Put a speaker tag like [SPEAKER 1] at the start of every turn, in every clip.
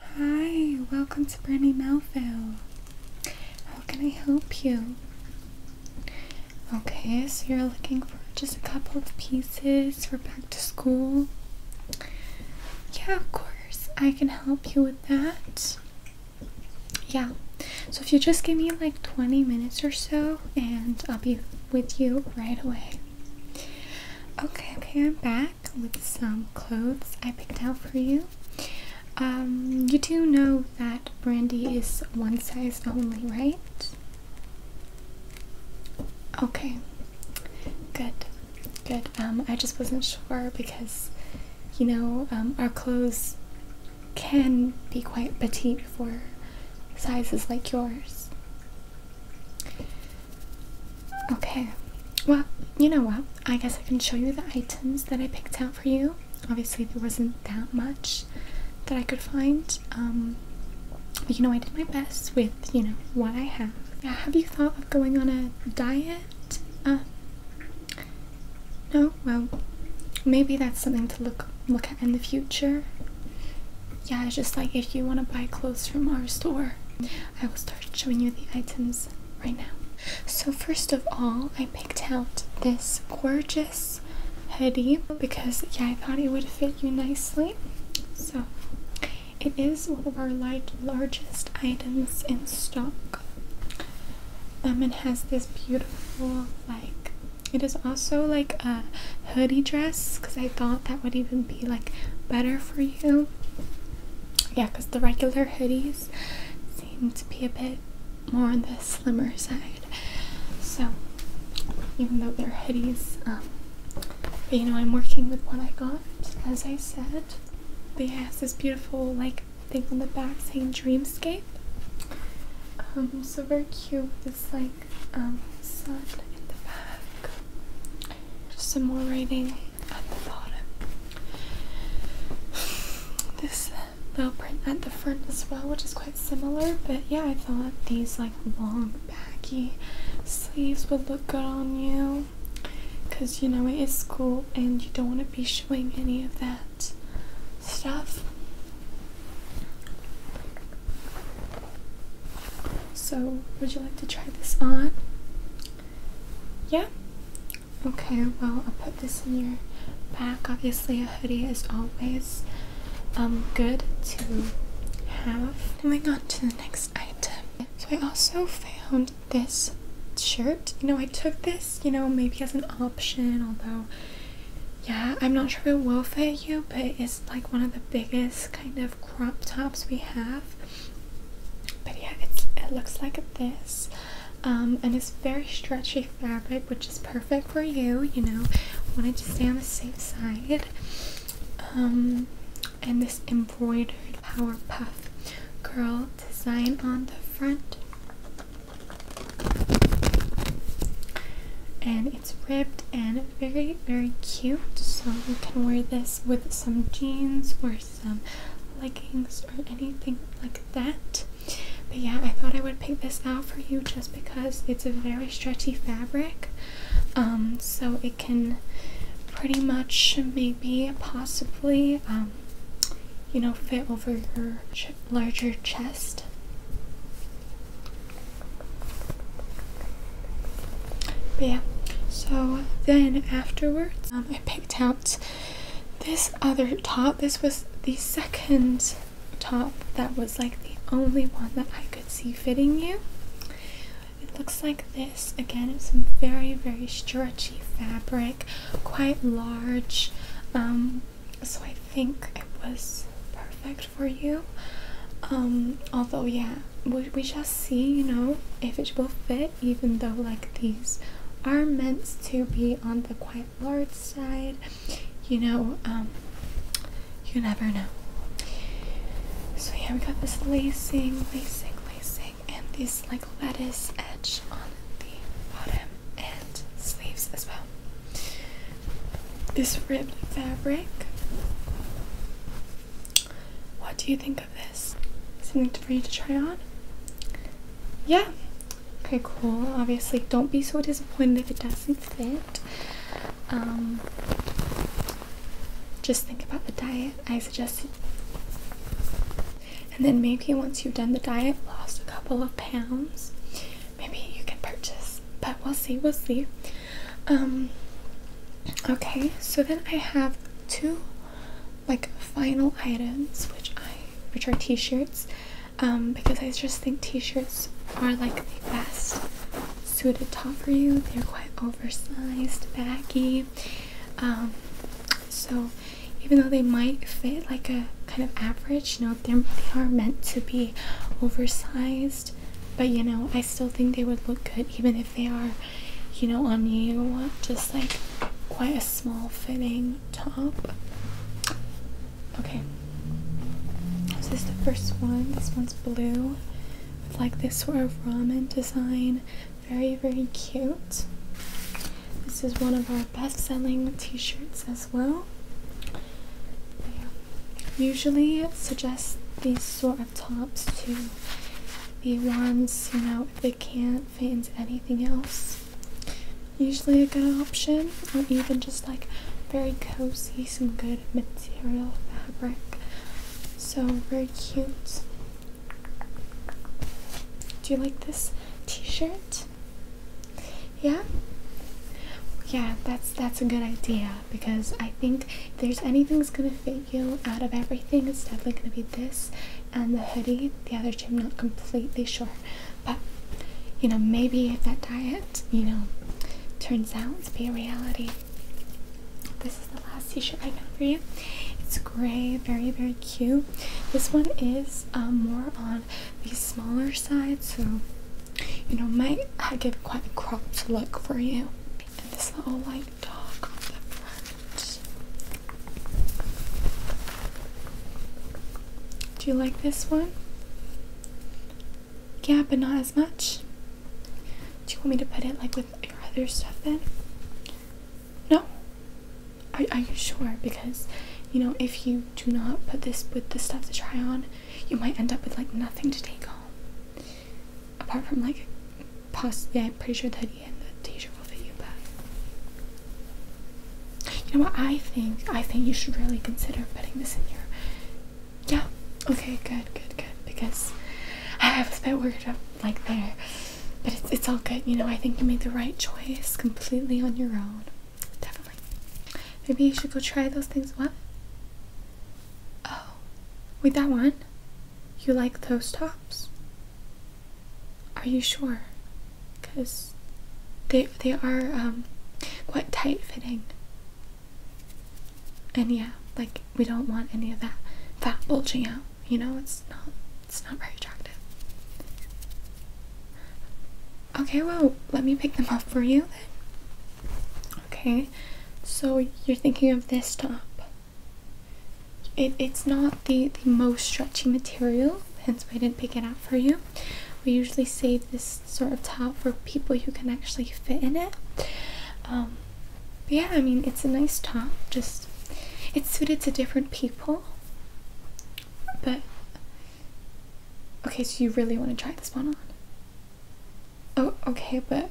[SPEAKER 1] Hi, welcome to Brandy Melville. How can I help you? Okay, so you're looking for just a couple of pieces for back to school? Yeah, of course, I can help you with that. Yeah, so if you just give me like 20 minutes or so, and I'll be with you right away. Okay, okay, I'm back with some clothes I picked out for you. Um, you do know that Brandy is one size only, right? Okay, good, good. Um, I just wasn't sure because, you know, um, our clothes can be quite petite for sizes like yours. Okay, well, you know what? I guess I can show you the items that I picked out for you. Obviously, there wasn't that much that I could find. Um, but you know, I did my best with, you know, what I have. Uh, have you thought of going on a diet? Uh, no? Well, maybe that's something to look look at in the future. Yeah, just like if you want to buy clothes from our store, I will start showing you the items right now. So first of all, I picked out this gorgeous hoodie because yeah, I thought it would fit you nicely. So it is one of our light, largest items in stock. And um, it has this beautiful like it is also like a hoodie dress because I thought that would even be like better for you yeah, because the regular hoodies seem to be a bit more on the slimmer side. So, even though they're hoodies, um, but you know, I'm working with what I got. As I said, they have this beautiful like thing on the back saying Dreamscape. Um, so very cute. This like um, sun in the back. Just some more writing at the bottom. This uh, little print at the front as well, which is quite similar, but yeah, I thought these like long baggy sleeves would look good on you because you know it is school and you don't want to be showing any of that stuff. So, would you like to try this on? Yeah? Okay, well, I'll put this in your bag. Obviously, a hoodie is always um, good to have. Moving on to the next item. So, I also found this shirt. You know, I took this, you know, maybe as an option, although, yeah, I'm not sure if it will fit you, but it's like one of the biggest kind of crop tops we have. But yeah, it looks like this, um, and it's very stretchy fabric, which is perfect for you. You know, wanted to stay on the safe side. Um, and this embroidered Powerpuff Girl design on the front, and it's ribbed and very very cute. So you can wear this with some jeans or some leggings or anything like that. But yeah, I thought I would pick this out for you just because it's a very stretchy fabric. Um, so it can pretty much maybe possibly um, you know fit over your larger chest. But yeah, so then afterwards, um, I picked out this other top. This was the second top that was like the only one that I could see fitting you. It looks like this. Again, it's some very, very stretchy fabric, quite large. Um, so I think it was perfect for you. Um, although, yeah, we, we shall see, you know, if it will fit even though like these are meant to be on the quite large side. You know, um, you never know. So yeah, we got this lacing, lacing, lacing, and this like lettuce edge on the bottom and sleeves as well. This ribbed fabric what do you think of this? Something for you to try on? Yeah. Okay, cool. Obviously, don't be so disappointed if it doesn't fit. Um, just think about the diet I suggested. And then maybe once you've done the diet, lost a couple of pounds, maybe you can purchase. But we'll see, we'll see. Um, okay, so then I have two like final items which I which are t-shirts um, because I just think t-shirts are like the best suited top for you. They're quite oversized, baggy. Um, so even though they might fit like a kind of average, you know, they are meant to be oversized. But you know, I still think they would look good even if they are you know, on you. Just like quite a small fitting top. Okay. is this the first one. This one's blue with like this sort of ramen design. Very, very cute. This is one of our best selling t shirts as well. Usually, it suggests these sort of. Tops to the ones, you know, if they can't fit into anything else. Usually a good option, or even just like very cozy, some good material fabric. So very cute. Do you like this t-shirt? Yeah? Yeah, that's that's a good idea because I think if there's anything that's gonna fit you out of everything it's definitely going to be this and the hoodie the other two i'm not completely sure but you know maybe if that diet you know turns out to be a reality this is the last t-shirt i got for you it's gray very very cute this one is um, more on the smaller side so you know might I uh, give quite a cropped look for you and this little like do you like this one? Yeah, but not as much. Do you want me to put it like with your other stuff then? No? Are, are you sure? Because, you know, if you do not put this with the stuff to try on, you might end up with like nothing to take home apart from like possibly I'm pretty sure that and the teacher will fit you back. You know what I think I think you should really consider putting this in your yeah, okay, good, good, good. Because I have a bit worked up like there. But it's it's all good, you know, I think you made the right choice completely on your own. Definitely. Maybe you should go try those things what? Oh. Wait that one? You like those tops? Are you sure? Because they they are um, quite tight fitting. And yeah, like we don't want any of that fat bulging out. You know, it's not it's not very attractive. Okay, well, let me pick them up for you Okay, so you're thinking of this top. It, it's not the, the most stretchy material, hence why I didn't pick it up for you. We usually save this sort of top for people who can actually fit in it. Um, yeah, I mean, it's a nice top, just it's suited to different people. But okay, so you really want to try this one on? Oh, okay, but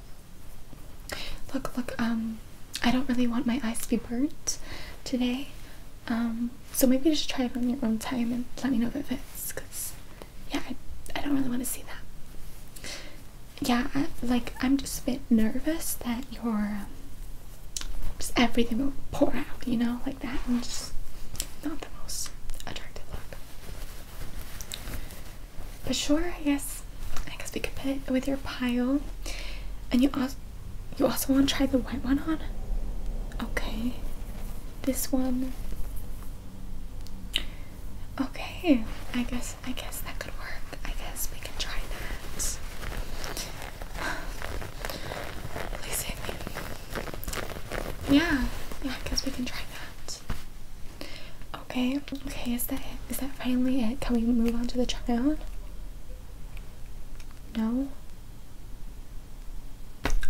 [SPEAKER 1] look, look, um, I don't really want my eyes to be burnt today. Um, so maybe just try it on your own time and let me know if it fits. Cause yeah, I, don't really want to see that. Yeah, like I'm just a bit nervous that your um, just everything will pour out, you know, like that, and just not the most attractive look. But sure, I guess I guess we could put it with your pile and you also you also want to try the white one on okay this one okay I guess I guess that could work I guess we can try that please yeah yeah I guess we can try that okay okay is that it? is that finally it can we move on to the try on no?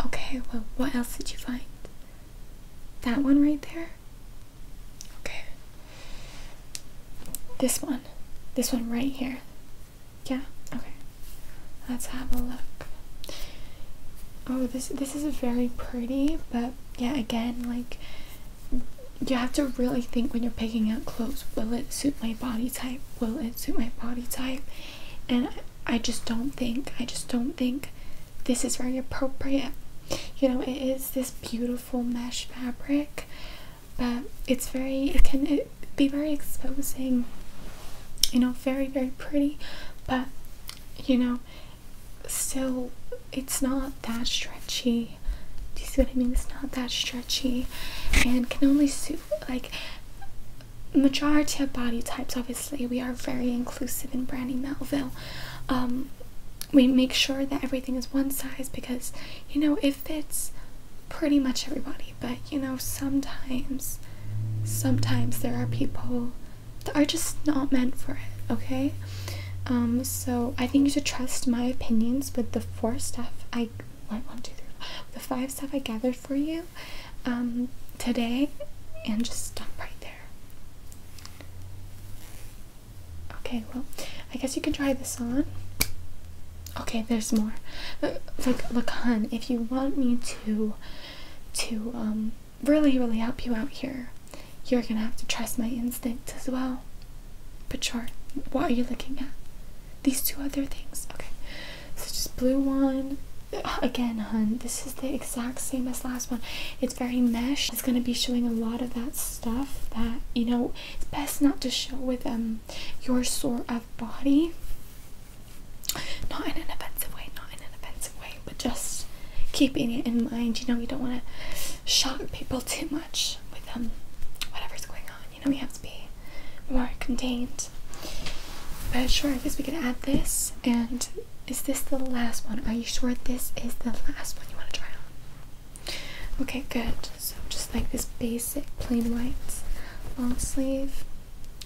[SPEAKER 1] Okay, well, what else did you find? That one right there? Okay. This one. This one right here. Yeah? Okay. Let's have a look. Oh, this this is very pretty, but yeah, again, like you have to really think when you're picking out clothes will it suit my body type will it suit my body type and i just don't think i just don't think this is very appropriate you know it is this beautiful mesh fabric but it's very it can it be very exposing you know very very pretty but you know still it's not that stretchy do you see what I mean? It's not that stretchy and can only suit like majority of body types obviously we are very inclusive in Brandy Melville. Um, we make sure that everything is one size because you know it fits pretty much everybody but you know sometimes sometimes there are people that are just not meant for it okay um, so I think you should trust my opinions with the four stuff I went one, two, three, four, the five stuff I gathered for you um, today, and just stop right there. Okay, well, I guess you can try this on. Okay, there's more. Uh, look, look, hun, if you want me to, to um, really, really help you out here, you're gonna have to trust my instincts as well. Pachar, what are you looking at? These two other things. Okay. So just blue one. Uh, again, hun, this is the exact same as last one. It's very mesh. It's gonna be showing a lot of that stuff that you know it's best not to show with um your sort of body. Not in an offensive way, not in an offensive way, but just keeping it in mind. You know, you don't wanna shock people too much with um whatever's going on. You know, we have to be more contained. But sure, I guess we could add this. And is this the last one? Are you sure this is the last one you want to try on? Okay, good. So just like this basic plain white long sleeve.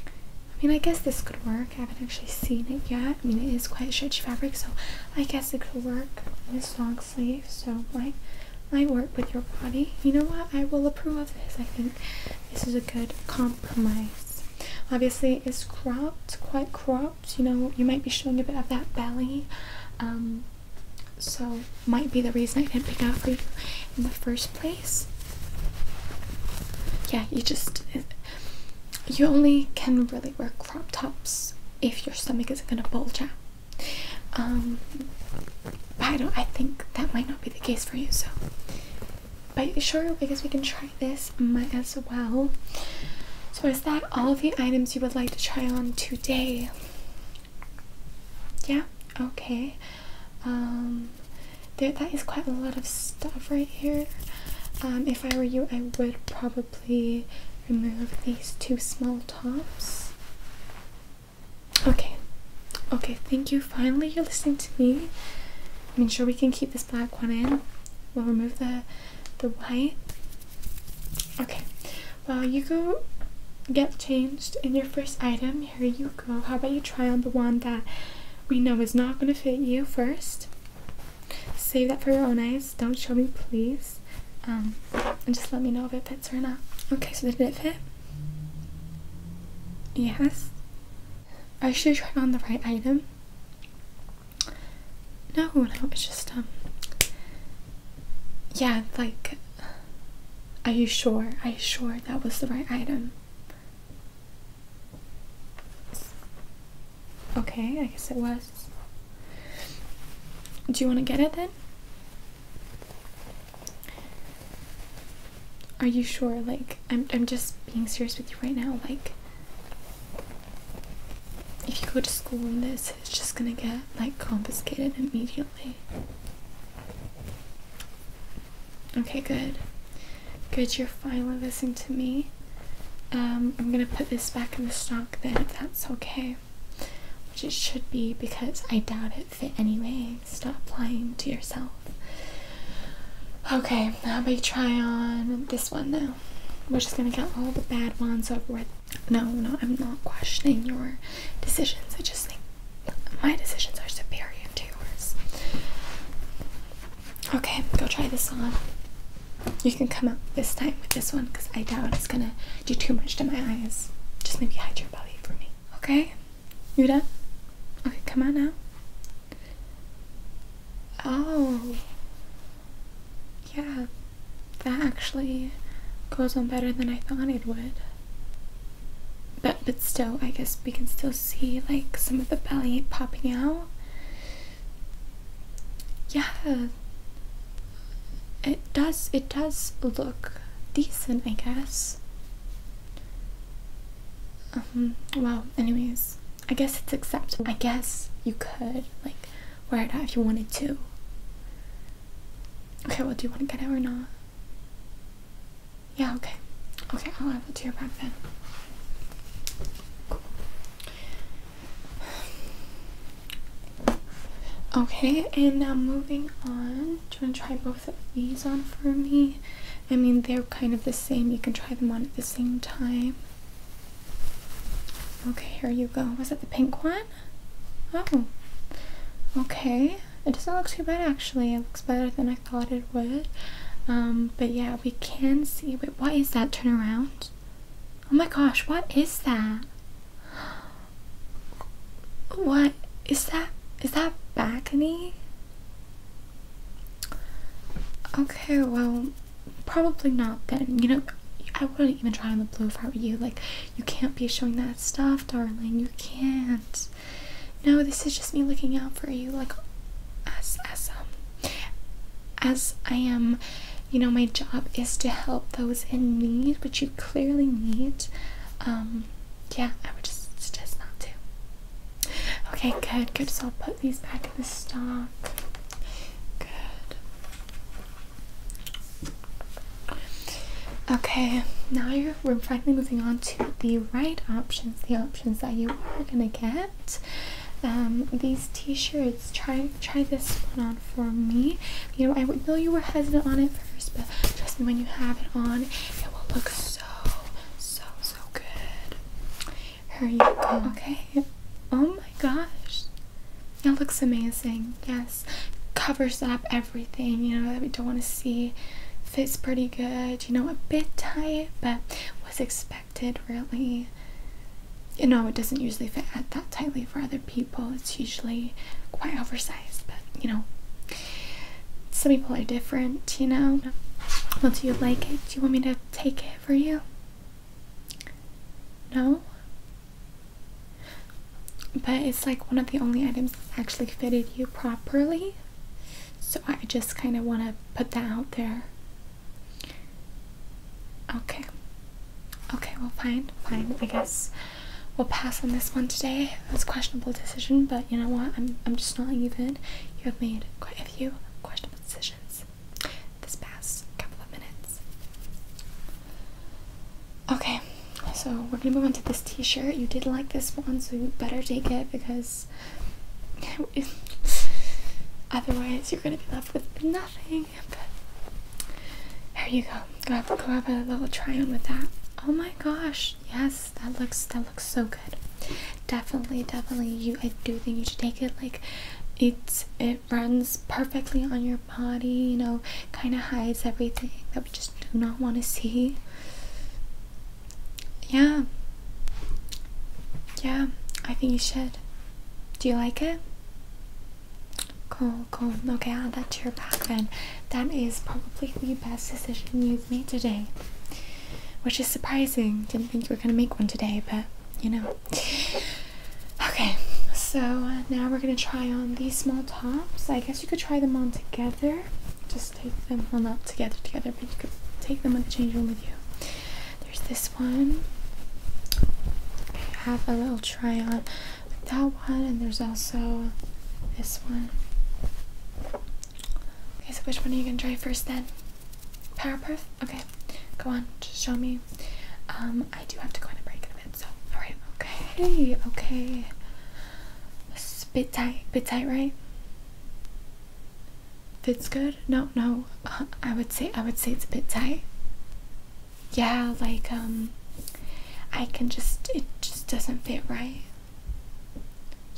[SPEAKER 1] I mean, I guess this could work. I haven't actually seen it yet. I mean, it is quite stretchy fabric, so I guess it could work. This long sleeve, so my my work with your body. You know what? I will approve of this. I think this is a good compromise. Obviously, it's cropped, quite cropped. You know, you might be showing a bit of that belly. Um, so might be the reason I didn't pick out for you in the first place. Yeah, you just you only can really wear crop tops if your stomach isn't gonna bulge out. Um, I don't. I think that might not be the case for you. So, but sure, because we can try this, as well. So, is that all of the items you would like to try on today? Yeah. Okay. Um, That is quite a lot of stuff right here. Um, if I were you, I would probably remove these two small tops. Okay, okay, thank you. Finally, you're listening to me. I am sure, we can keep this black one in. We'll remove the the white. Okay, well, you go get changed in your first item. Here you go. How about you try on the one that we know is not going to fit you first? Save that for your own eyes. Don't show me, please. Um, and just let me know if it fits right now. Okay, so did it fit? Yes. I should try on the right item. No, no, it's just um. Yeah, like. Are you sure? Are you sure that was the right item? Okay, I guess it was. Do you want to get it then? Are you sure? Like, I'm, I'm just being serious with you right now. Like, if you go to school in this, it's just gonna get like confiscated immediately. Okay, good. Good, you're finally listening to me. Um, I'm gonna put this back in the stock then if that's okay which it should be because I doubt it fit anyway. Stop lying to yourself. Okay, now we try on this one Though We're just gonna get all the bad ones over with. No, no, I'm not questioning your decisions. I just think my decisions are superior to yours. Okay, go try this on. You can come up this time with this one because I doubt it's gonna do too much to my eyes. Just maybe hide your belly for me. Okay? You done? Okay, come on now. Oh. Yeah. That actually goes on better than I thought it would. But but still, I guess we can still see like some of the belly popping out. Yeah does it does look decent i guess um Well. anyways i guess it's acceptable i guess you could like wear it out if you wanted to okay well do you want to get it or not yeah okay okay i'll have it to your back then Okay, and now moving on. Do you want to try both of these on for me? I mean, they're kind of the same. You can try them on at the same time. Okay, here you go. Was it the pink one? Oh, okay. It doesn't look too bad actually. It looks better than I thought it would. Um, but yeah, we can see. Wait, what is that turnaround? Oh my gosh, what is that? What is that? Is that balcony? Okay, well, probably not then. You know, I wouldn't even try on the blue if I you. Like, you can't be showing that stuff, darling. You can't. No, this is just me looking out for you. Like, as as um, as I am, you know, my job is to help those in need, but you clearly need. Um, yeah, I would just suggest not to. Okay, good, good. So I'll put these back in the stock. Good. Okay, now you we're finally moving on to the right options, the options that you are gonna get. Um, these t-shirts, try try this one on for me. You know, I would know you were hesitant on it first, but trust me, when you have it on, it will look so, so, so good. Here you go. Okay. Oh my gosh. It looks amazing. Yes. Covers up everything, you know, that we don't want to see. Fits pretty good. You know, a bit tight, but was expected, really. You know, it doesn't usually fit that tightly for other people, it's usually quite oversized, but you know, some people are different, you know. Well, do you like it? Do you want me to take it for you? No? But it's like one of the only items actually fitted you properly. So I just kind of want to put that out there. Okay. Okay, well, fine, fine. I guess we'll pass on this one today. It's a questionable decision, but you know what? I'm, I'm just not even. You have made quite a few questionable decisions this past couple of minutes. Okay, so we're gonna move on to this t shirt. You did like this one, so you better take it because. Otherwise, you're gonna be left with nothing there you go. Go have, go have a little try on with that. Oh my gosh, yes, that looks that looks so good. Definitely, definitely, you. I do think you should take it. Like, it's it runs perfectly on your body. You know, kind of hides everything that we just do not want to see. Yeah, yeah, I think you should. Do you like it? Cool, cool. Okay, I'll add that to your pack then. That is probably the best decision you've made today. Which is surprising. Didn't think you were gonna make one today, but you know. Okay, so uh, now we're gonna try on these small tops. I guess you could try them on together. Just take them, on up together, together, but you could take them the change room with you. There's this one. have a little try on like that one and there's also this one okay so which one are you gonna try first then powerpuff okay go on just show me um i do have to go in a break in a bit so all right okay okay Bit tight bit tight right fits good no no uh, i would say i would say it's a bit tight yeah, like, um, I can just, it just doesn't fit right.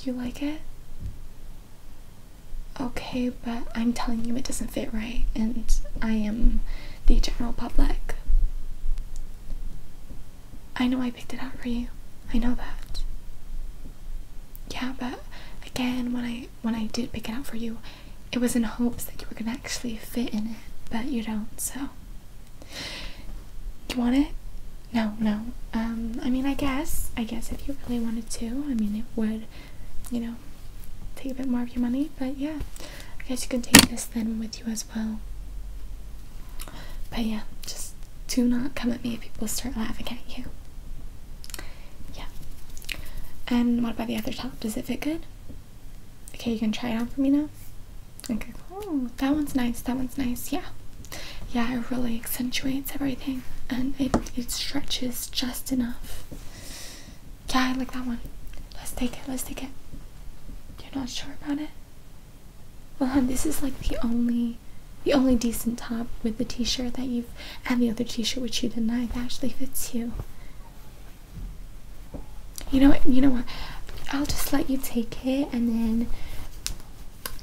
[SPEAKER 1] You like it? Okay, but I'm telling you it doesn't fit right, and I am the general public. I know I picked it out for you. I know that. Yeah, but again, when I when I did pick it out for you, it was in hopes that you were gonna actually fit in it, but you don't. So you want it? No, no. Um, I mean, I guess. I guess if you really wanted to, I mean, it would, you know, take a bit more of your money. But yeah, I guess you could take this then with you as well. But yeah, just do not come at me if people start laughing at you. Yeah. And what about the other top? Does it fit good? Okay, you can try it on for me now. Okay. Ooh, that one's nice. That one's nice. Yeah. Yeah, it really accentuates everything and it, it stretches just enough. Yeah, I like that one. Let's take it. Let's take it. You're not sure about it? Well, hon, this is like the only the only decent top with the t-shirt that you've and the other t-shirt which you denied that actually fits you you know what? You know what? I'll just let you take it, and then.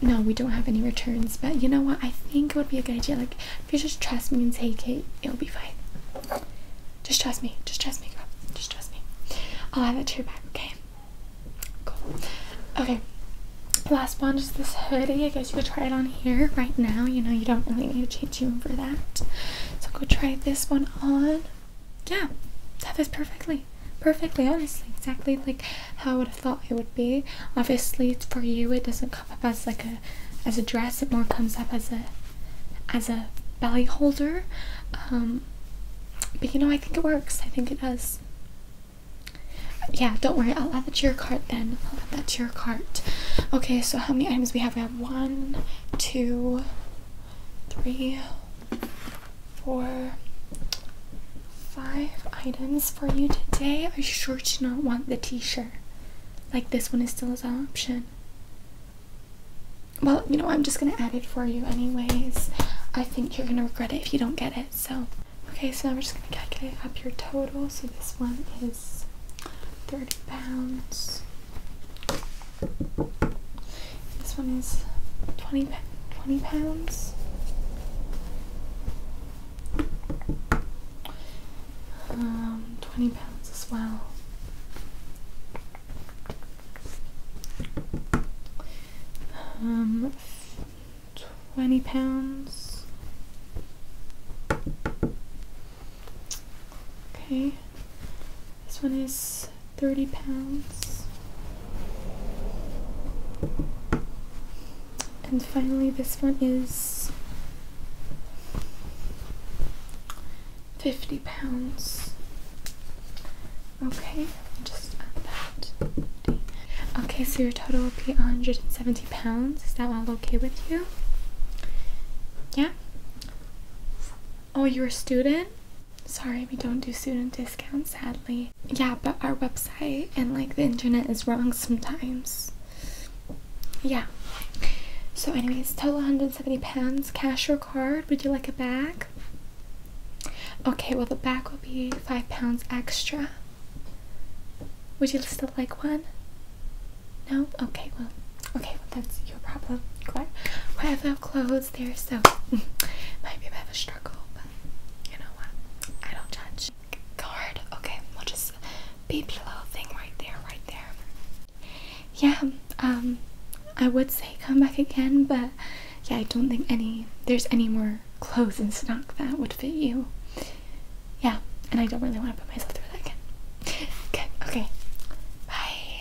[SPEAKER 1] No, we don't have any returns, but you know what? I think it would be a good idea. Like, if you just trust me and take it, it'll be fine. Just trust me. Just trust me, Just trust me. I'll add that to your back, okay? Cool. Okay. Last one is this hoodie. I guess you could try it on here right now. You know, you don't really need to change room for that. So go try this one on yeah, that is perfectly, perfectly honestly, exactly like how I would have thought it would be. Obviously, for you, it doesn't come up as like a as a dress. It more comes up as a as a belly holder. Um, but you know, I think it works. I think it does. Yeah, don't worry. I'll add that to your cart then. I'll add that to your cart. Okay, so how many items we have? We have one, two, three, for five items for you today. I sure do not want the t-shirt. Like this one is still as an option. Well, you know, I'm just gonna add it for you anyways. I think you're gonna regret it if you don't get it, so. Okay, so now we're just gonna calculate up your total. So this one is 30 pounds. This one is 20, 20 pounds. Um, 20 pounds as well. Um, 20 pounds. Okay. This one is 30 pounds. And finally, this one is 50 pounds. Okay, just add Okay, so your total will be 170 pounds. Is that all okay with you? Yeah? Oh, you're a student? Sorry, we don't do student discounts, sadly. Yeah, but our website and like the internet is wrong sometimes. Yeah. So, anyways, total 170 pounds, cash or card. Would you like a bag? Okay, well, the bag will be five pounds extra. Would you still like one? No? Okay, well, okay, well, that's your problem. Glad. Whatever, clothes there, so might be a bit of a struggle, but you know what? I don't judge. Guard, okay, we'll just beep your little thing right there, right there. Yeah, um, I would say come back again, but yeah, I don't think any there's any more clothes in stock that would fit you. Yeah, and I don't really want to put myself through that again. Good, okay. Bye.